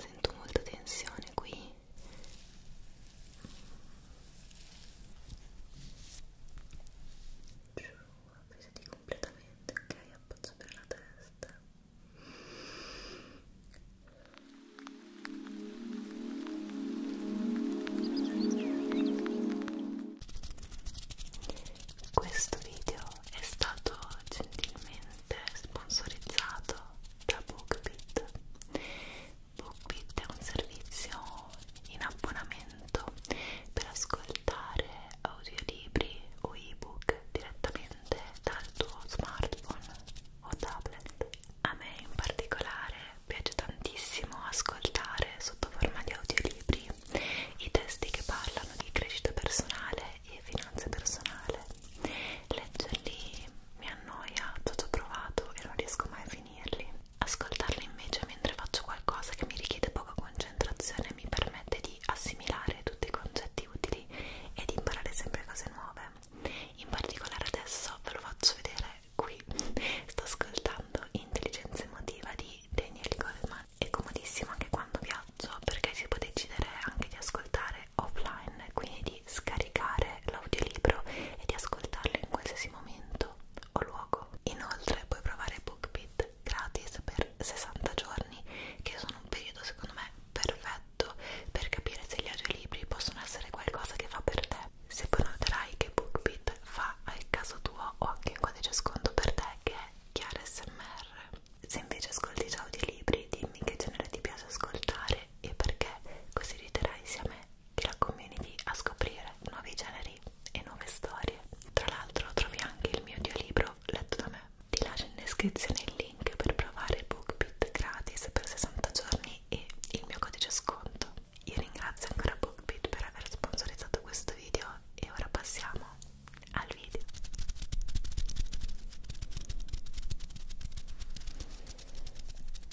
Sento molta tensione qui. Avvisati completamente, ok? Appoggia per la testa. Questo video è stato gentilmente ovviamente sponsorizzato da BookBeat. BookBeat è un servizio in abbonamento per ascoltare audiolibri o ebook direttamente dal tuo smartphone o tablet. A me in particolare piace tantissimo ascoltare sotto forma di audiolibri i testi che parlano di crescita personale e finanza personale. Leggerli mi annoia, ho già provato e non riesco mai a finirli. Ascoltarli invece mentre faccio qualcosa che mi richiede poca concentrazione mi permette di assimilare tutti i concetti utili e di imparare sempre cose nuove. In particolare adesso ve lo faccio vedere qui. Sto ascoltando Intelligenza emotiva di Daniel Goleman. È comodissimo anche quando viaggio perché si può decidere anche di ascoltare ascoltare offline, quindi di scaricare l'audiolibro e di ascoltarlo in qualsiasi momento o luogo. Inoltre puoi provare BookBeat gratis per 60 giorni, che sono un periodo secondo me perfetto per capire se gli audiolibri possono essere qualcosa che fa per te. Se poi noterai che BookBeat fa al caso tuo ho anche un codice sconto per te che è chiara smr se invece ascolti già audiolibri, dimmi che genere ti piace ascoltare e perché, così aiuterai sia me che la community a scoprire nuovi generi e nuove storie. Tra l'altro trovi anche il mio audiolibro letto da me. Ti lascio in descrizione il link per provare BookBeat gratis per 60 giorni e il mio codice sconto. Io ringrazio ancora BookBeat per aver sponsorizzato questo video e ora passiamo al video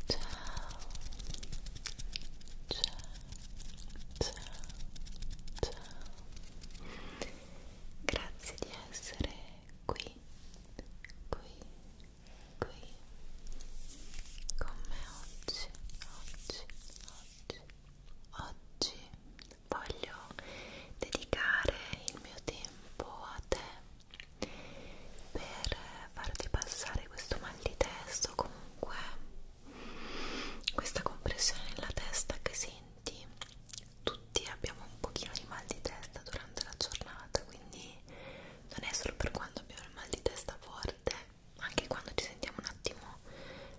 ciao ciao ciao ciao grazie di essere qui qui qui con me oggi oggi oggi oggi voglio dedicare il mio tempo a te per farti passare questo mal di testa o comunque questa compressione nella testa che senti tutti abbiamo un pochino di mal di testa durante la giornata quindi non è solo per quando abbiamo il mal di testa forte anche quando ci sentiamo un attimo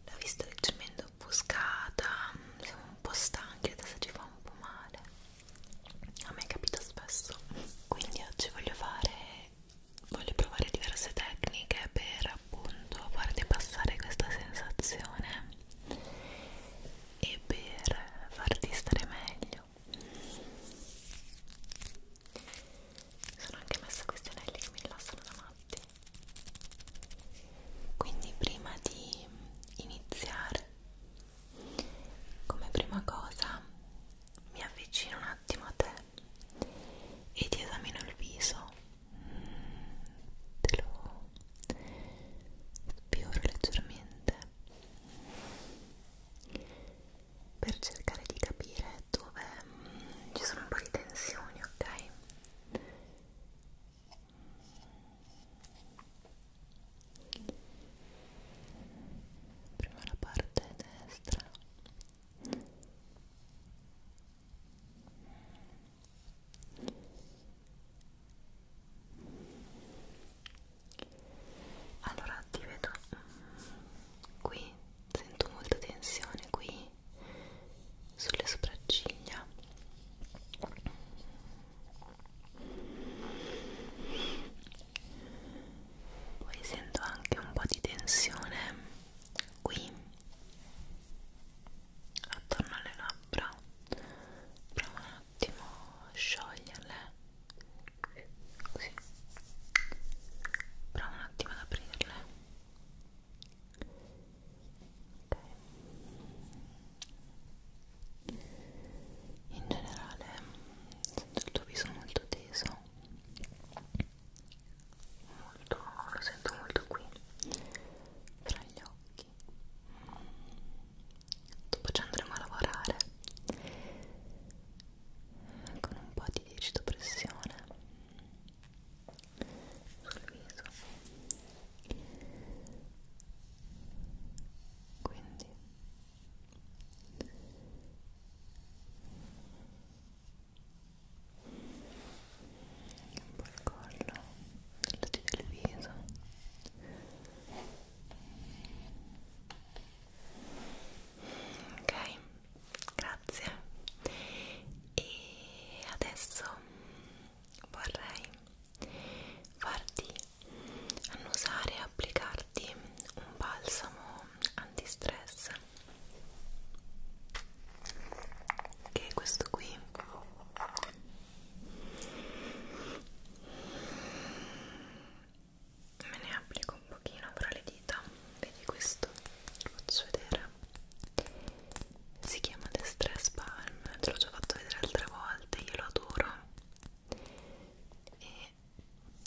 la vista leggermente offuscata, siamo un po' stanchi, adesso ci fa un po' male. A me capita spesso. Quindi oggi voglio fare voglio provare diverse tecniche per appunto farti passare questa sensazione e per farti stare meglio sono anche messa questi anelli che mi rilassano da matti quindi prima di iniziare come prima cosa mi avvicino un attimo a te e ti esamino il viso te lo sfioro leggermente per cercare di capire dove mm, ci sono un po' di tensioni ok prima la parte destra allora ti vedo mm, qui sento molta tensione qui sulle sopracciglia poi sento anche un po' di tensione qui attorno alle labbra prova un attimo a scioglierle così prova un attimo ad aprirle okay. in generale sento il tuo viso molto teso molto, lo sento molto qui tra gli occhi dopo ci andremo a lavorare con un po' di digito pressione sul viso quindi un po' il collo tutti del viso ok grazie e adesso vorrei farti annusare e applicarti un balsamo antistress che è questo qui me ne applico un pochino fra le dita vedi questo ti faccio vedere si chiama The Stress Palm te l'ho già fatto vedere altre volte io lo adoro e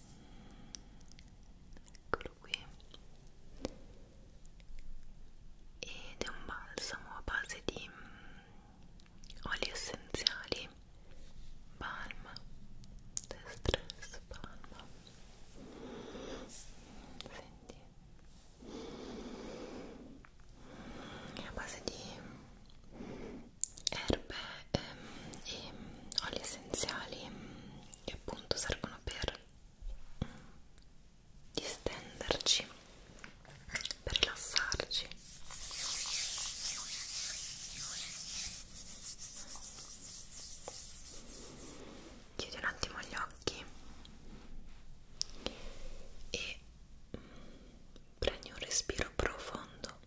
mm, eccolo qui ed è un balsamo a base di mm, oli essenziali palma The Stress Palm senti è a base di erbe e, ehm, e oli essenziali che appunto servono per distenderci per rilassarci chiudi un attimo gli occhi e prendi un respiro profondo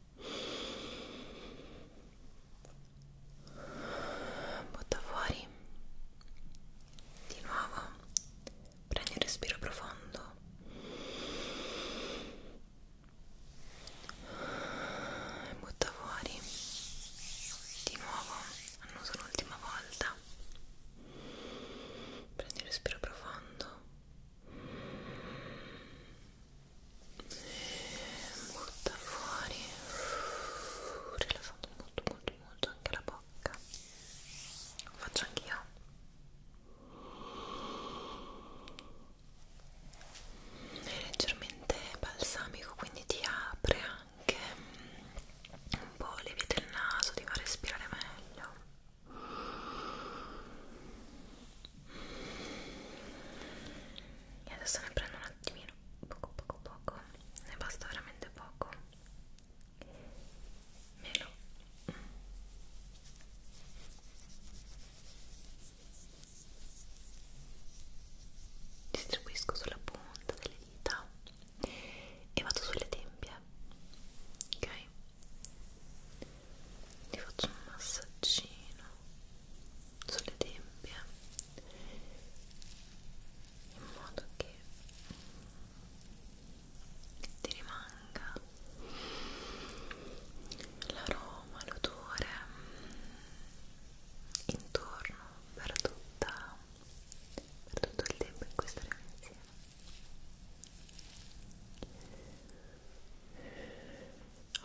butta fuori di nuovo prendi un respiro profondo e butta fuori di nuovo annuso l'ultima volta prendi un respiro profondo e butta fuori rilassando molto molto molto anche la bocca lo faccio anch'io è leggermente balsamico quindi ti apre anche un po' le vie del naso, ti fa respirare meglio. E adesso ne prendo un attimino, poco poco poco, ne basta veramente poco. Melo. Distribuisco sulla punta delle dita e vado sulle tempie ok ti faccio un massaggino sulle tempie in modo che ti rimanga l'aroma, l'odore intorno per, tutta, per tutto il tempo in cui staremo insieme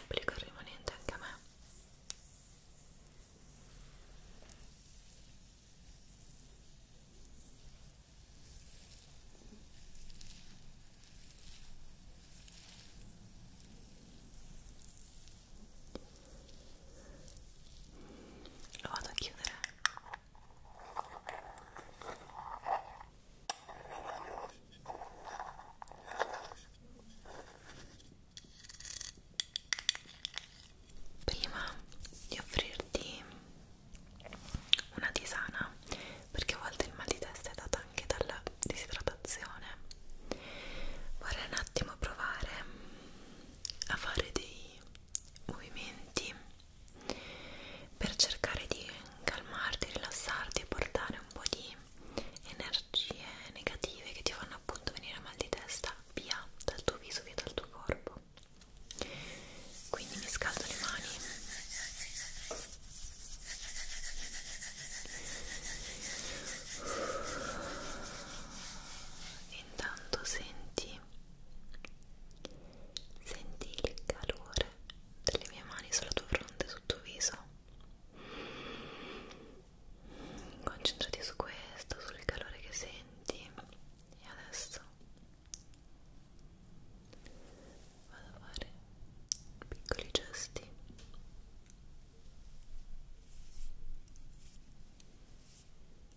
obbligo il rimanente anche a me lo vado a chiudere Prima di offrirti una tisana, perché a volte il mal di testa è dato anche dalla disidratazione, vorrei un attimo provare a fare dei movimenti per cercare di calmarti, rilassarti e portare un po' di energie negative che ti fanno appunto venire mal di testa via dal tuo viso, via dal tuo corpo. Quindi mi scaldo le mani intanto senti mio. Senti il calore delle mie mani sulla tua fronte, sul tuo viso. Concentrati su questo, sul calore che senti. E adesso vado a fare piccoli gesti. Molto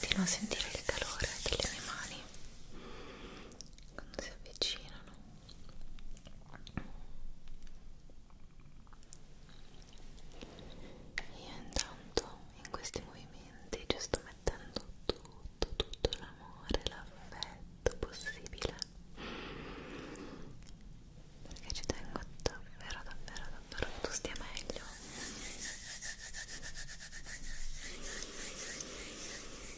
Continuo a sentire il calore delle mie mani quando si avvicinano io intanto in questi movimenti ci sto mettendo tutto tutto l'amore l'affetto possibile perché ci tengo davvero davvero davvero che tu stia meglio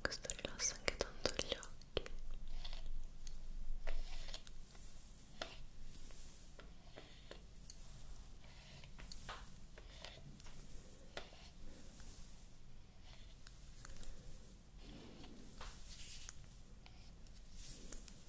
questo rilassa anche tanto gli occhi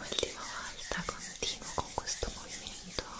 Ultima volta continuo con questo movimento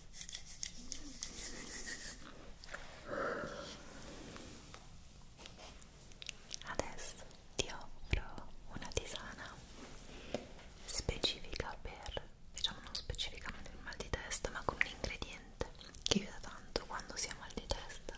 Adesso ti offro una tisana specifica per, diciamo non specificamente il mal di testa, ma con un ingrediente che aiuta tanto quando si ha mal di testa.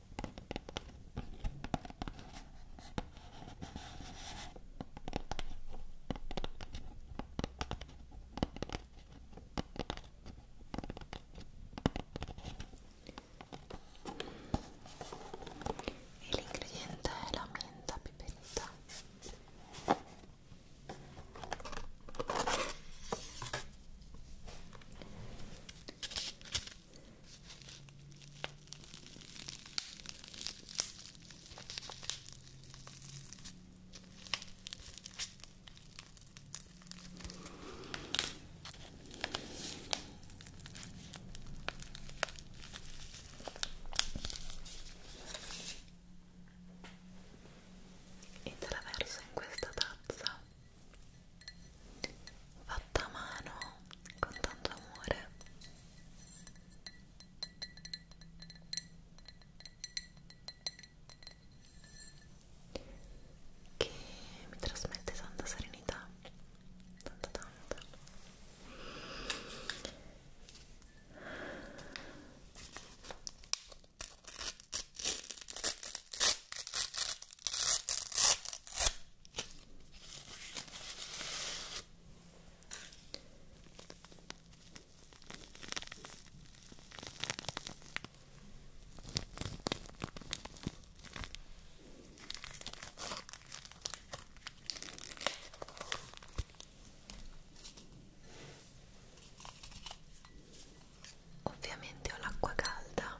El ingrediente es la menta, piperita. e te la verso in questa tazza fatta a mano con tanto amore che mi trasmette tanta serenità tanta tanta Ovviamente ho l'acqua calda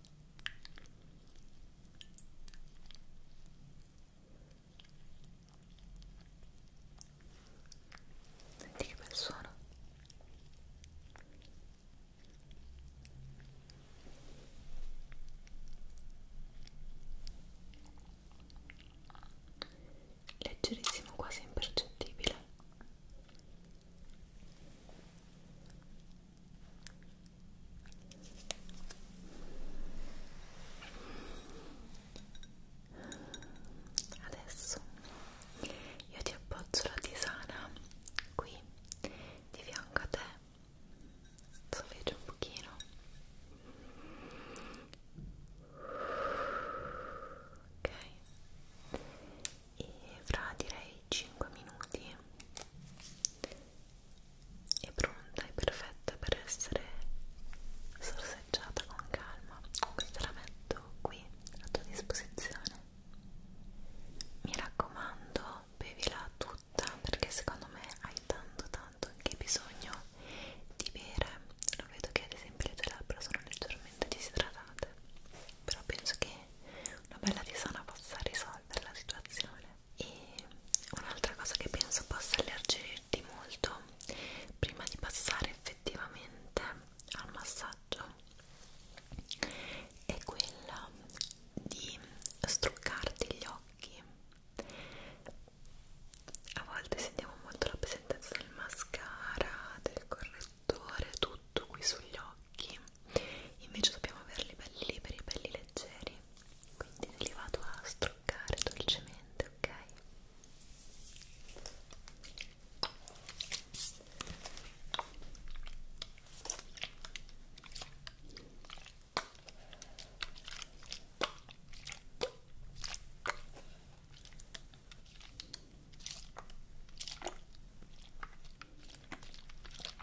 Senti che bel suono. Leggerissimo, quasi impercettibile. Adesso io ti appoggio la tisana qui di fianco a te, soffio un pochino ok e fra direi 5 minuti è pronta e perfetta per essere sorseggiata con calma. Questa la metto qui a tua disposizione. Mi raccomando, bevila tutta perché secondo me hai tanto tanto anche bisogno di bere. Lo vedo che ad esempio le tue labbra sono leggermente disidratate, però penso che una bella tisana possa risolvere la situazione e un'altra cosa che penso possa alleggerirti molto prima di passare effettivamente al massaggio è quella di struccarti gli occhi a volte sentiamo molto la presenza del mascara, del correttore, tutto qui sugli occhi occhi invece dobbiamo averli belli liberi, belli leggeri quindi li vado a struccare dolcemente, ok?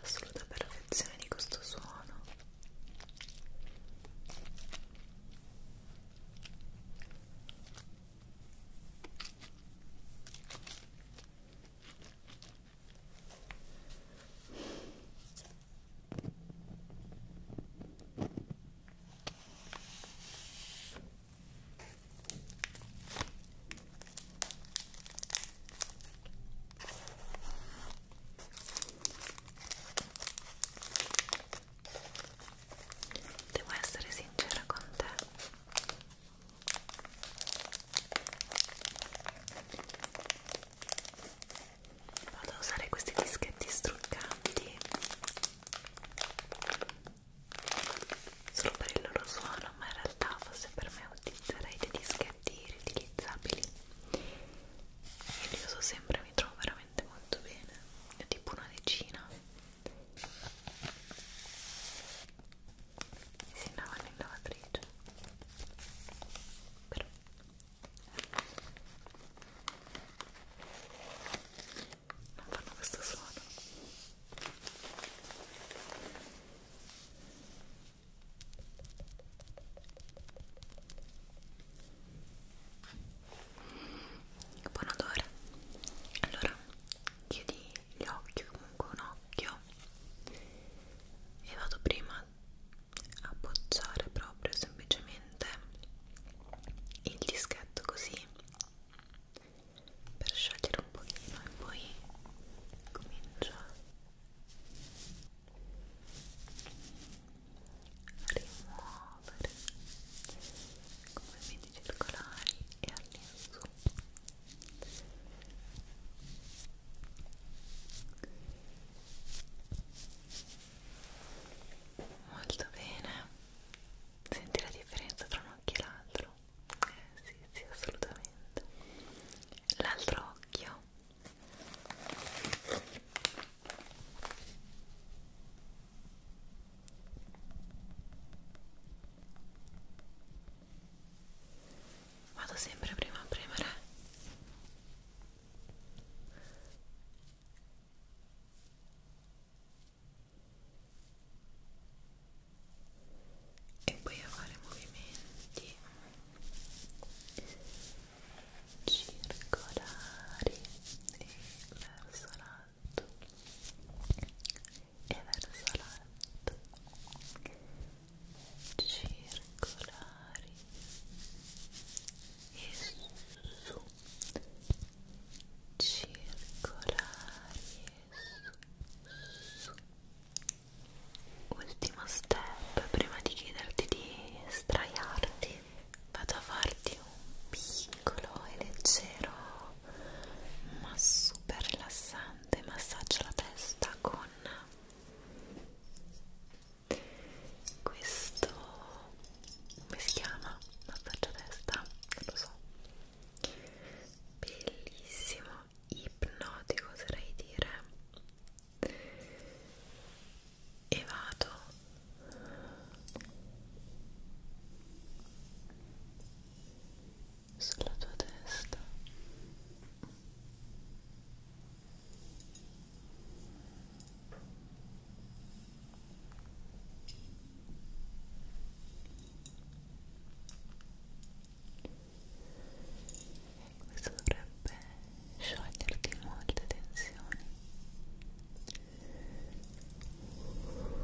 l'assoluta perfezione di questo suono Devo essere sincera con te vado a usare questi dischetti struccanti solo per il loro suono ma in realtà forse per me utilizzerei dei dischetti riutilizzabili e li uso sempre mi trovo veramente molto bene ne ho tipo una decina si andavano in lavatrice però non fanno questo suono buon odore allora chiudi gli occhi comunque un occhio e vado prima a appoggiare proprio semplicemente il dischetto così per sciogliere un pochino e poi comincio a rimuovere come vedi circolari e all'insù molto bene senti la differenza tra un occhio e l'altro? Eh, sì, sì, assolutamente l'altro occhio Vado sempre prima a premere e poi a fare movimenti circolari e verso l'alto e verso l'alto circolari e su circolari su. ultimo step prima di chiederti di straiarti vado a farti un piccolo e leggero ma super rilassante massaggio alla testa con questo come si chiama? massaggio a testa? non lo so bellissimo ipnotico oserei dire e vado sulla tua testa questo dovrebbe scioglierti molte tensioni Ora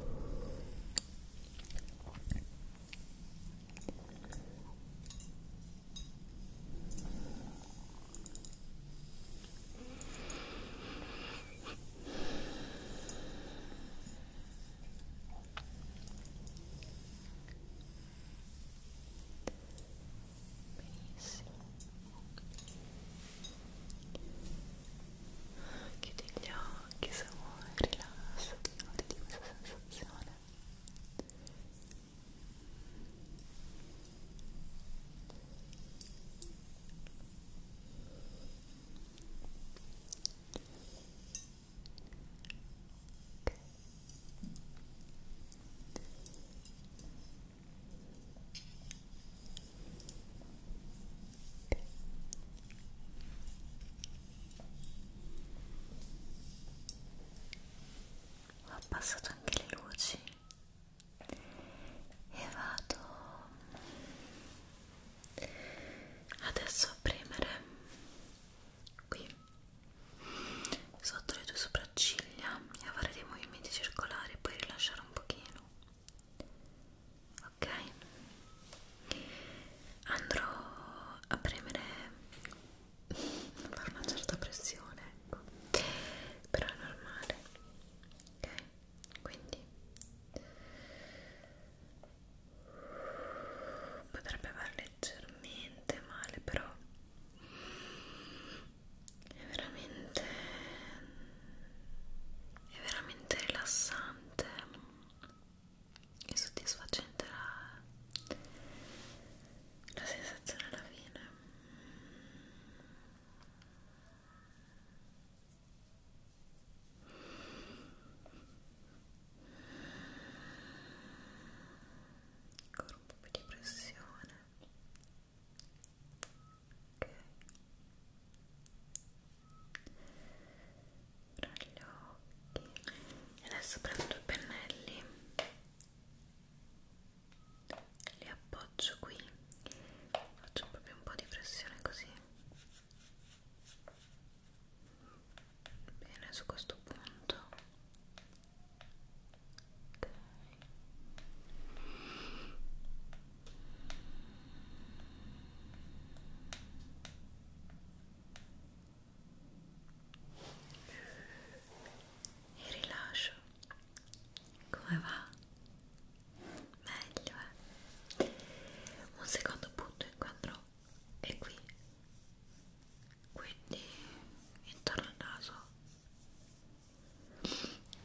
benissimo chiudi gli occhi se vuoi rilassati, goditi questa sensazione ho abbassato anche le luci e vado adesso a premere qui sotto le tue sopracciglia e a fare dei movimenti circolari poi rilasciare un pochino ok andrò a premere a fare una certa pressione ecco però è normale ok quindi potrebbe far leggermente male però è veramente è veramente rilassante e soddisfacente la, la sensazione alla fine ancora un po' più di pressione ok tra gli occhi e adesso prendo i pennelli le appoggio qui faccio proprio un po' di pressione così bene su questo punto okay. e rilascio come va? Meglio, eh? Un secondo punto incontro è qui, quindi intorno al naso.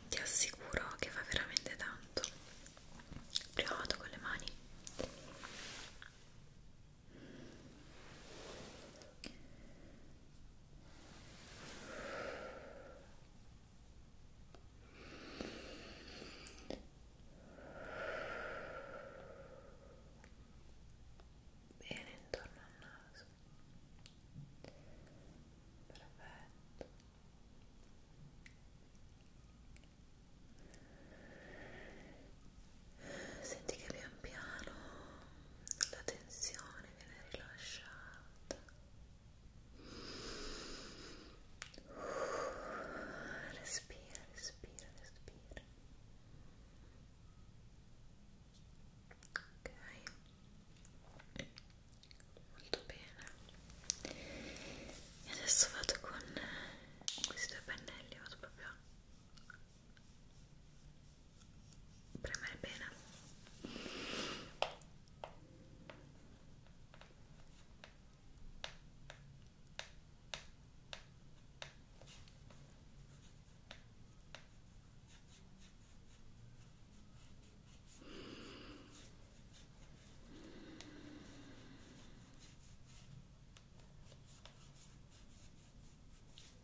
Ti assicuro che fa veramente tanto. Prima vado con le mani bene intorno al naso perfetto senti che pian piano la tensione viene rilasciata respira, respira, respira ok molto bene e adesso vado con questi due pennelli vado proprio premere bene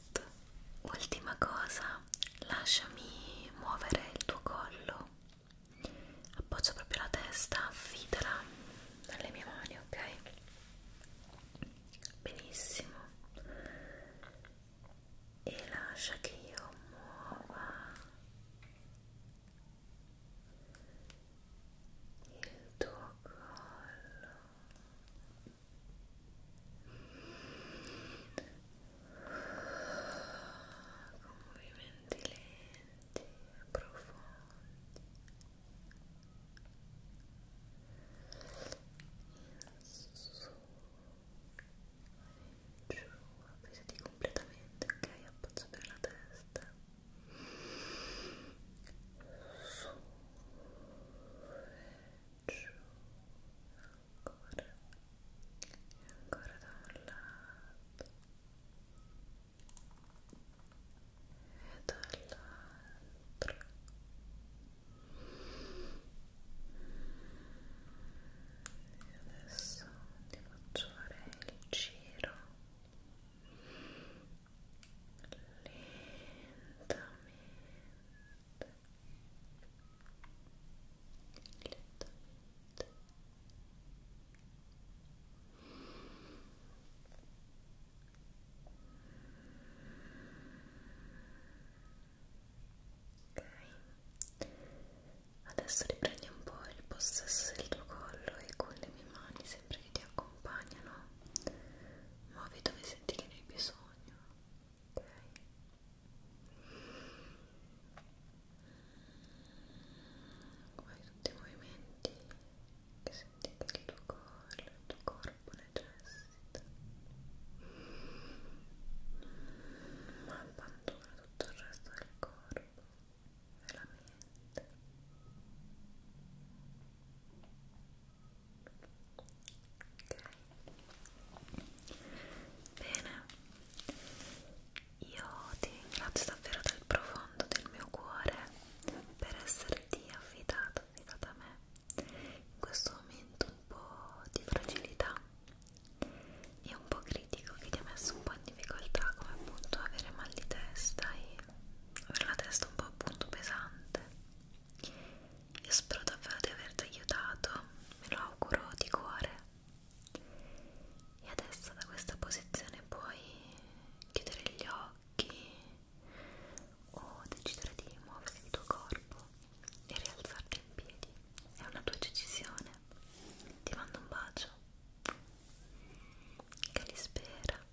perfetto ultima cosa lasciami muovere il tuo collo appoggia proprio la testa affidala dalle mie mani ok benissimo e lascia che io muova il tuo collo con movimenti lenti e profondi in su e in giù avvisati completamente ok appoggia bene la testa su e giù ancora e ancora da un lato e dall'altro e adesso ti faccio fare il giro lentamente Lentamente. Ok, adesso riprendi un po' il possesso del tuo collo e con le mie mani, sempre che ti accompagnano, muovi dove senti che ne hai bisogno bisogno ok fai tutti i movimenti che senti che il tuo corpo il tuo corpo necessita ma abbandona tutto il resto del corpo e la mente Bene, io ti ringrazio davvero dal profondo del mio cuore per esserti affidato, affidata a me in questo momento un po' di fragilità e un po' critico che ti ha messo un po' in difficoltà come appunto avere mal di testa e avere la testa un po' appunto pesante io spero davvero di averti aiutato, me lo auguro di cuore. E adesso da questa posizione puoi chiudere gli occhi o decidere di muovere il tuo corpo e rialzarti in piedi. È una tua decisione. Ti mando un bacio. Che li spera.